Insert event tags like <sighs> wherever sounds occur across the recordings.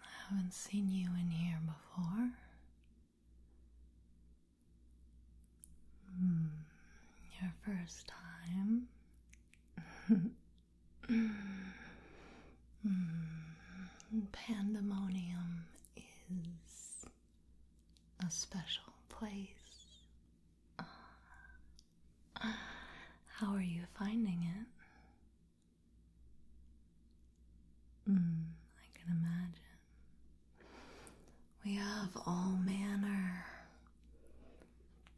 I haven't seen you in here before. Hmm, your first time. <laughs> Hmm, pandemonium is a special place how are you finding it? Mm, I can imagine. We have all manner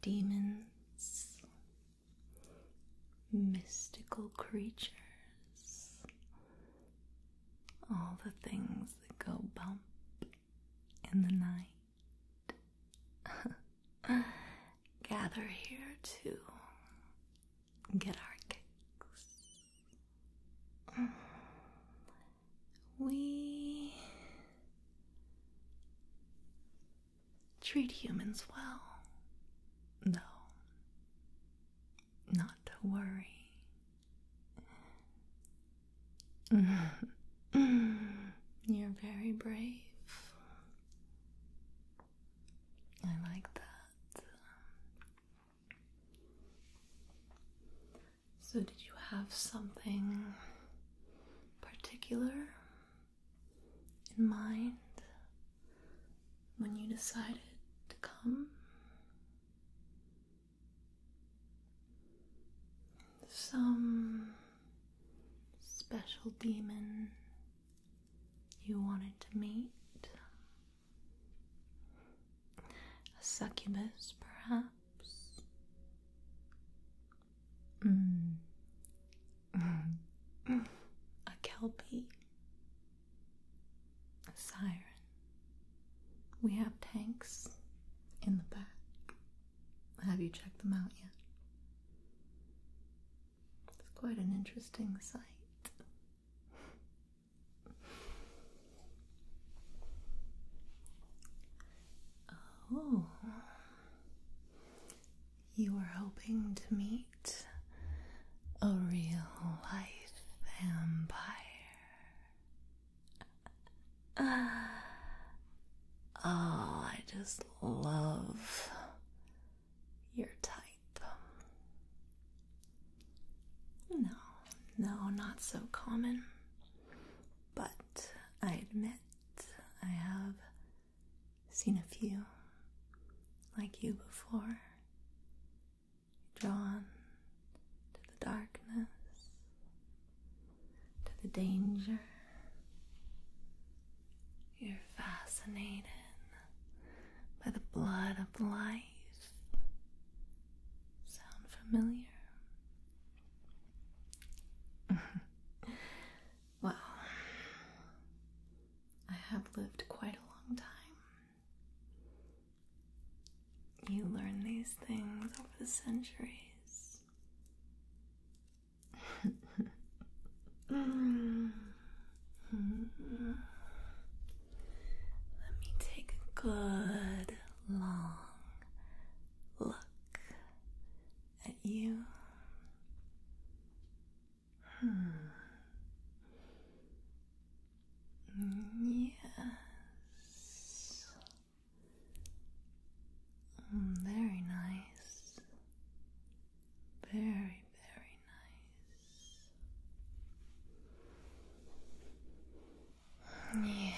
demons, mystical creatures, all the things that go bump in the night. <laughs> gather here to get our kicks. We treat humans well, though. Not to worry. You're very brave. I like that. So, did you have something particular in mind when you decided to come? some special demon you wanted to meet. A succubus, perhaps? Mm. <laughs> a kelpie? A siren? We have tanks in the back. Have you checked them out yet? It's quite an interesting sight. Oh, you are hoping to meet a real life vampire. Oh, <sighs> I just love your type. No, no, not so common. But I admit I have seen a few like you before. Drawn to the darkness, to the danger. You're fascinated by the blood of life. Sound familiar? <laughs> well, I have lived quite a long time. You learn these things over the centuries. Let me take a good long look at you. Hmm. Yes. Mm, very nice. Very, very nice. Yes.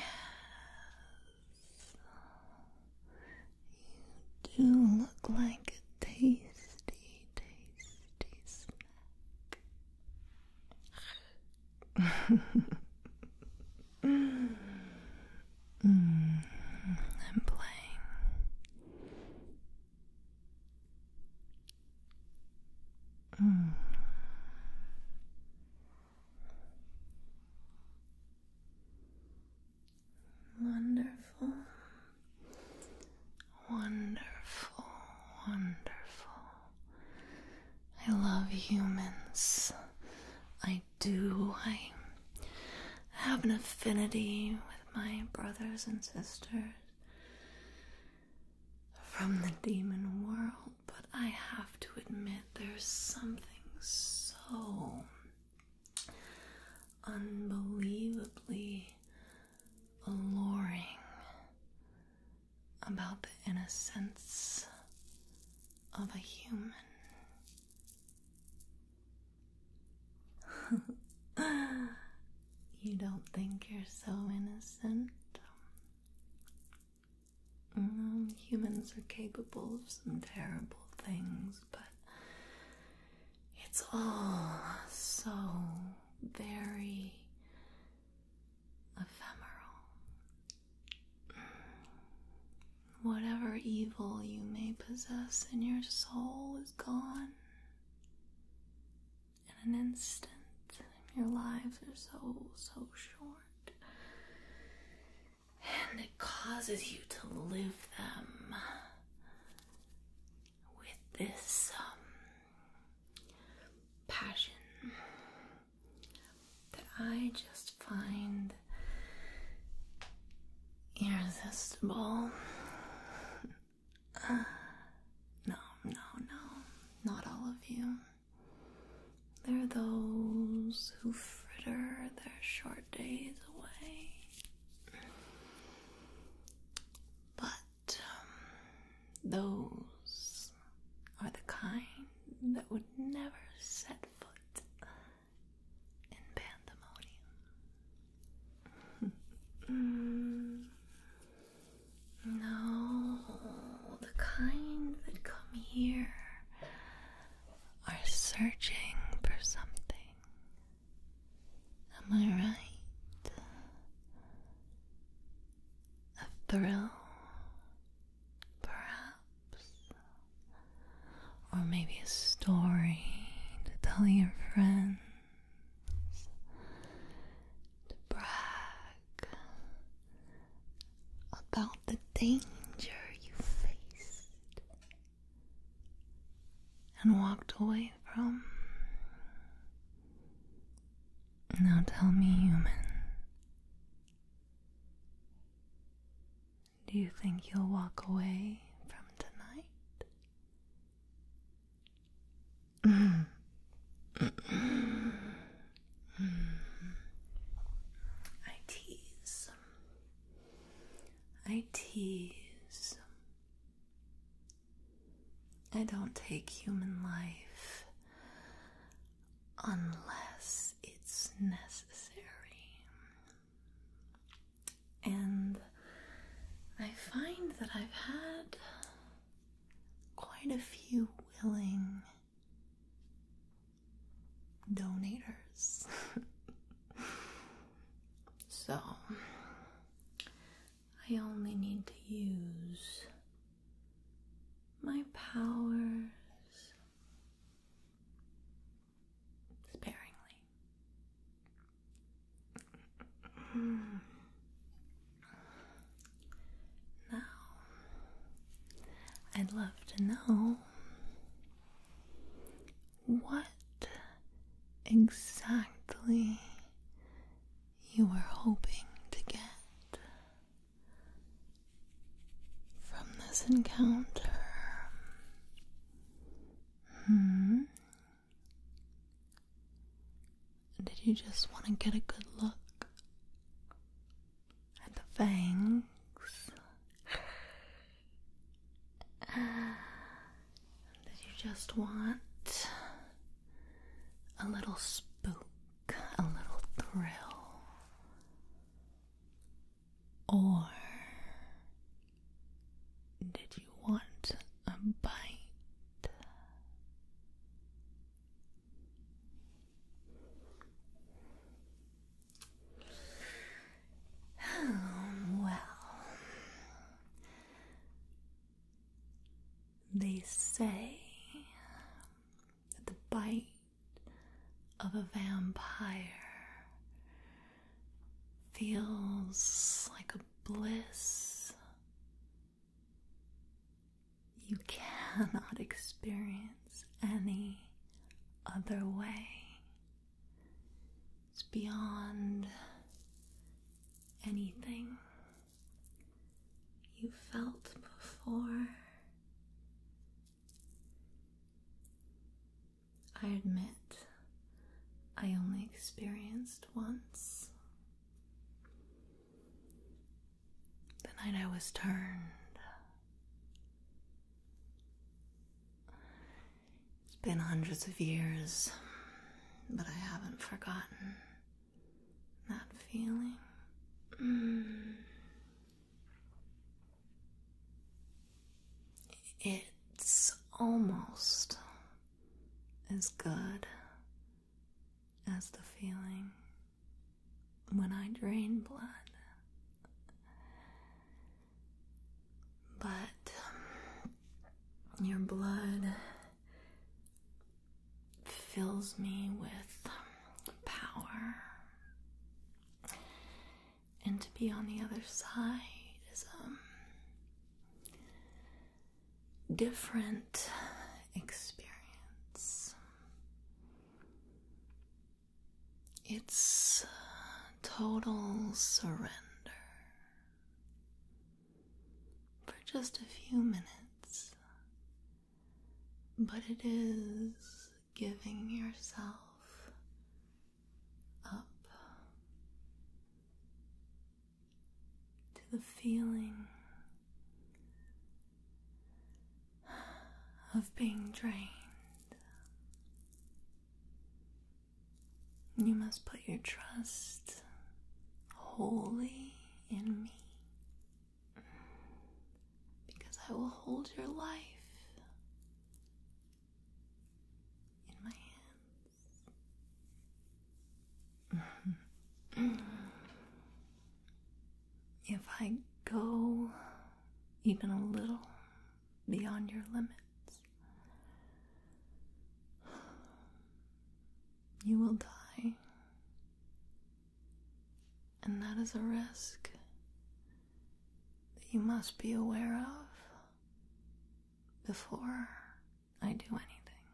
You do look like a tasty, tasty snack. I'm playing. Wonderful, wonderful, wonderful. I love humans. I do. I have an affinity with my brothers and sisters from the demon world, but I have to admit there's something so unbelievably alluring about the innocence of a human. <laughs> you don't think you're so innocent? Mm, humans are capable of some terrible things, but it's all so very ephemeral Whatever evil you may possess in your soul is gone. In an instant, your lives are so, so short. And it causes you to live them with this um, passion that I just find irresistible. Uh, no, no, no, not all of you. There are those who fritter their short days away. But um, those are the kind that would never set foot uh, in pandemonium. <laughs> no, the kind that come here are searching for something. Am I right? A thrill perhaps, or maybe a story to tell your friends, to brag about the danger you faced and walked away from. Now tell me, human. Do you think you'll walk away from tonight? I tease. I tease. I don't take human life unless it's necessary. And I find that I've had quite a few willing donors, <laughs> so I only need to use my powers sparingly. Hmm. now, I'd love to know what exactly you were hoping to get from this encounter? Hmm, did you just want to get a good look at the fangs? Did you just want a little spook, a little thrill, or did you want a bite? <sighs> well, they say that the bite of a vampire feels like a bliss you cannot <laughs> experience any other way. It's beyond anything you felt before. I admit I only experienced once. The night I was turned. It's been hundreds of years, but I haven't forgotten that feeling. Mm. It's almost as good as the feeling when I drain blood. But your blood fills me with power and to be on the other side is a um, different experience. It's uh, total surrender for just a few minutes, but it is giving yourself up to the feeling of being drained. You must put your trust wholly in me because I will hold your life in my hands. if I go even a little beyond your limits, you will die and that is a risk that you must be aware of before I do anything.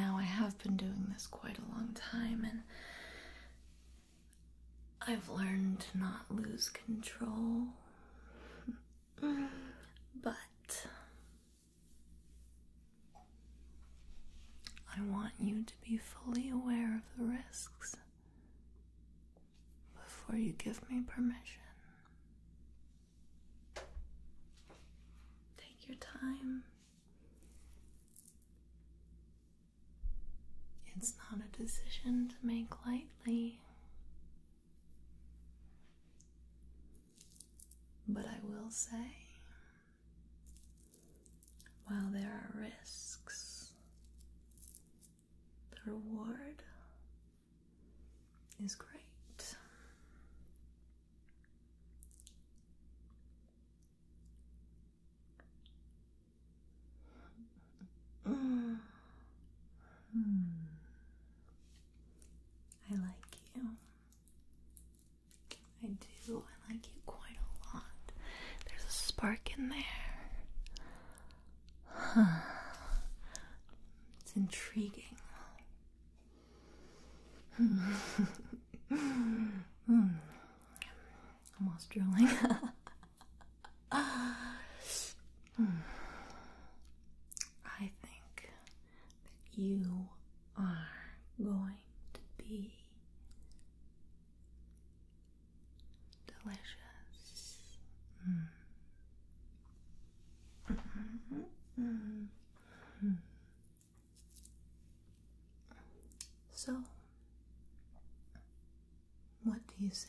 Now, I have been doing this quite a long time, and I've learned to not lose control. <laughs> but I want you to be fully aware of the risks before you give me permission. Take your time. It's not a decision to make lightly. But I will say while there are risks, the reward is great. <sighs> Hmm. I like you. I do. I like you quite a lot. There's a spark in there. It's intriguing. mm. Almost drooling. I think that you are going to be delicious. So, what do you say?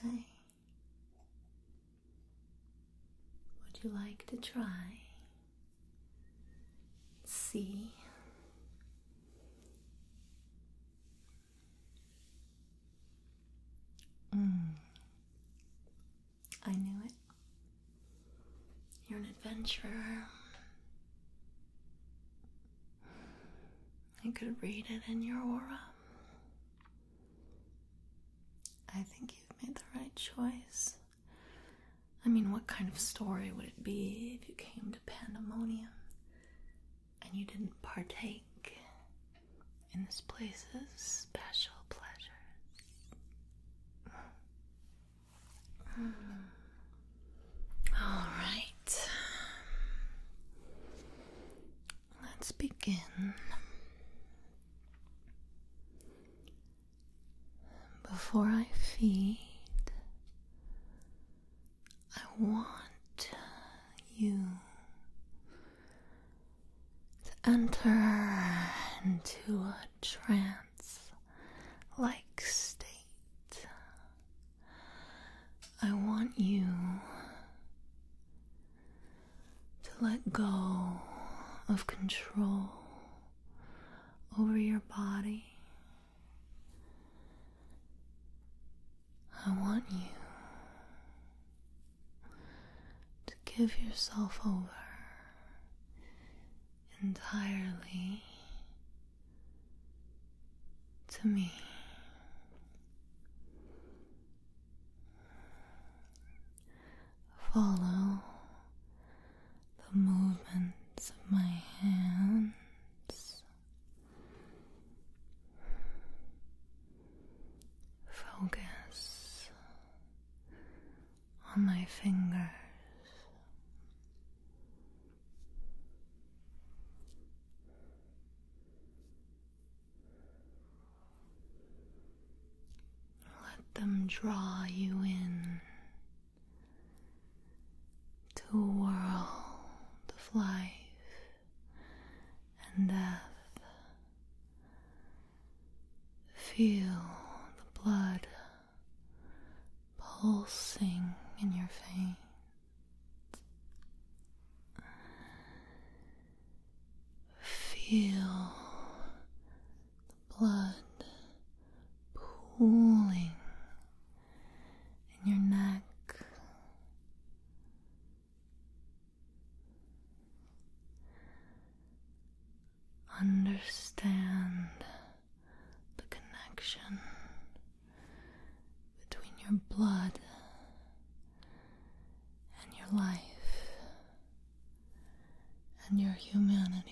Would you like to try see. Mm. I knew it. You're an adventurer. I could read it in your aura. I think you've made the right choice. I mean, what kind of story would it be if you came to Pandemonium and you didn't partake in this place's special pleasures? Hmm. All right. Let's begin. Before I feed, I want you to enter into a trance like state. I want you to let go of control over your body I want you to give yourself over entirely to me. Follow the movements of my hands, focus on my fingers. Let them draw you in to a world of life and death. Feel the blood pulsing in your veins. Feel the blood pooling in your neck. Understand the connection between your blood and your life and your humanity.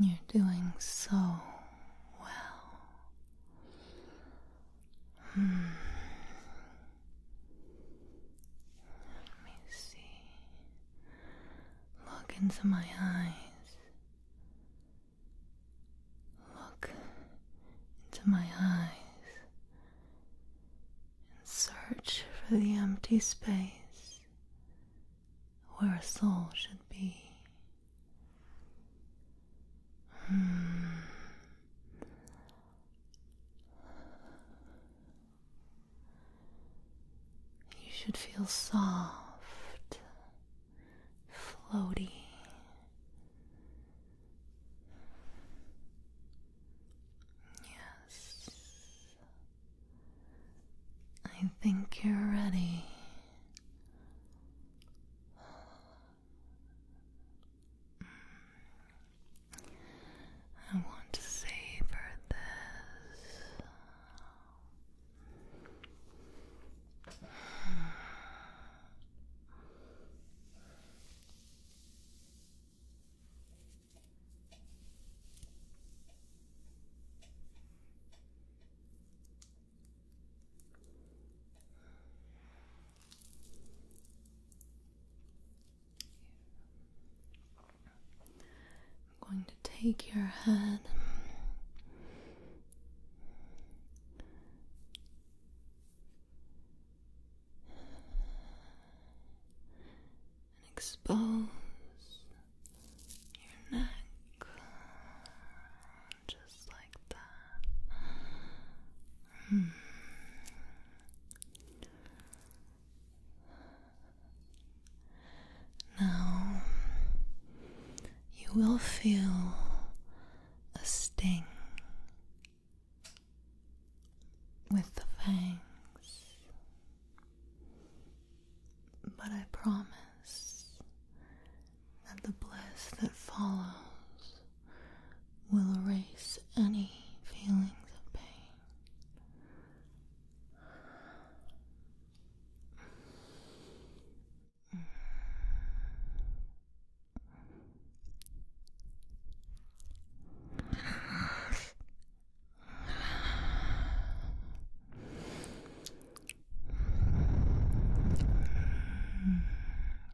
You're doing so well. Let me see. Look into my eyes. Look into my eyes and search for the empty space where a soul should be. Hmm. You should feel soft, floaty. Yes, I think you're ready. I want to savor this. I'm going to take your head and expose your neck just like that. Hmm. Now you will feel a sting with the fangs, but I promise that the bliss that follows will erase any feelings of pain.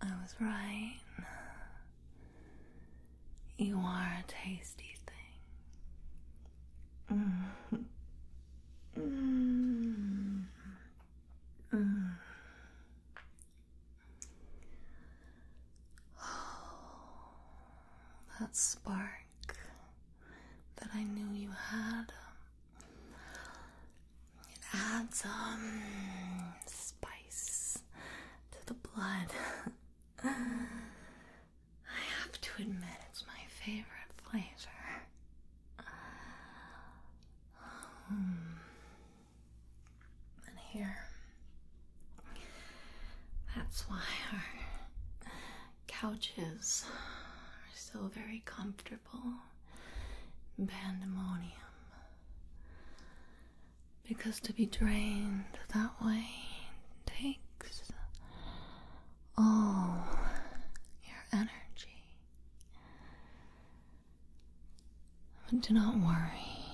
I was right. You are a tasty thing. <sighs> that spark that I knew you had. It adds um spice to the blood. <laughs> I have to admit, it's my favorite flavor. Uh, hmm. and here, that's why our couches are so very comfortable. Pandemonium. Because to be drained that way takes all your energy. But do not worry.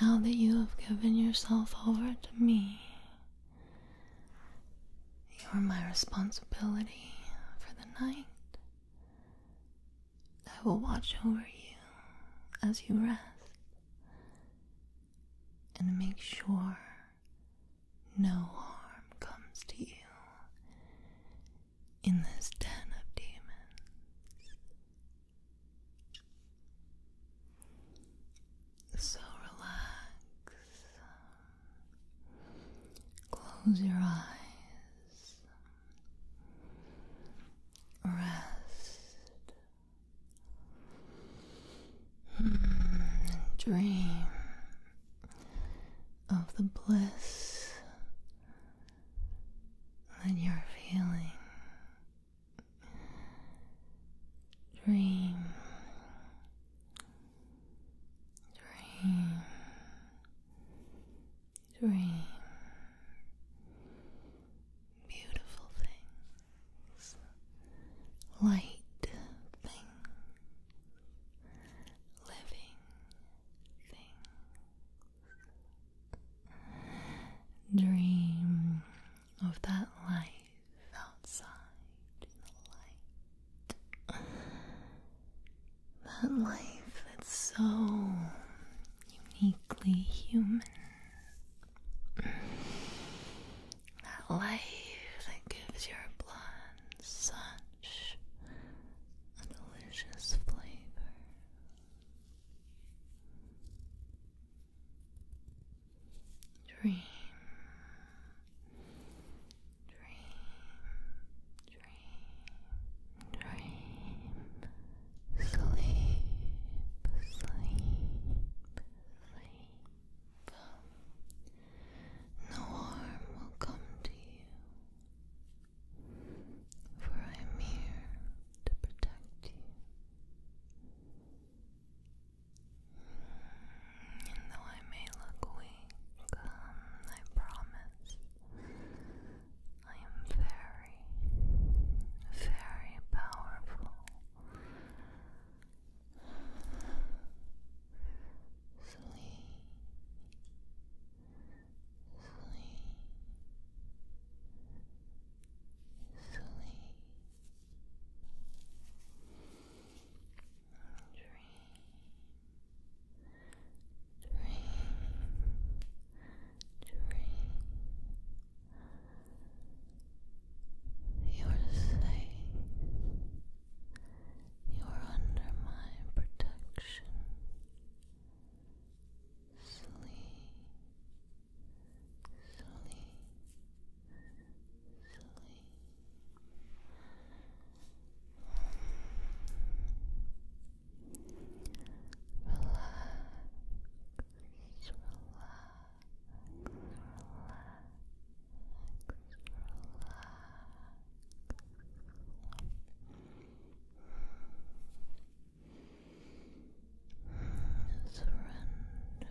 Now that you have given yourself over to me, you are my responsibility for the night. I will watch over you as you rest and make sure no harm comes to you in this den of demons. So relax, close your eyes, rest <sighs> Dream of the bliss that you're feeling. Dream. Dream. Dream beautiful things, light things, living things. Dream of that life outside in the light. That life that's so uniquely human. That life that gives your blood such a delicious flavor. Dream, dream, dream, dream sleep, sleep, sleep. No harm will come to you, for I am here to protect you. And though I may look weak, I promise I am very, very powerful. Sleep, sleep, sleep. dream, dream. Dream, you are safe. You are under my protection. Sleep, sleep, sleep. Relax, relax. Surrender to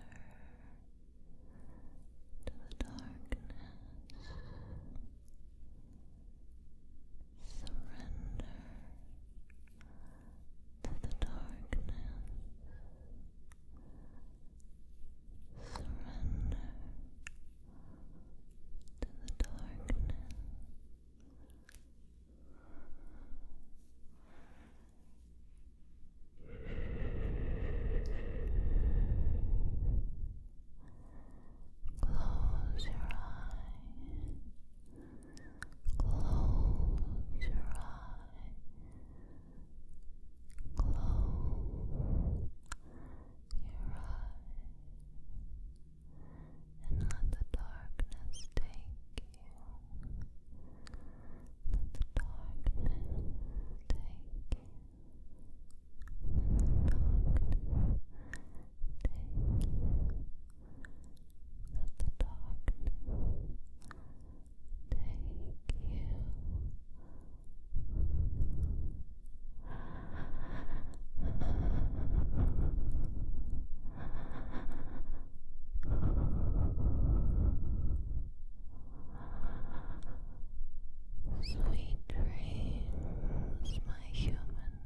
the darkness. Surrender to the darkness. Surrender to the darkness. Close your eyes. Close your eye. Close your eye. And let the darkness take you. Let the darkness take you. Let the darkness take you. Let the darkness take you. Sweet dreams, my human.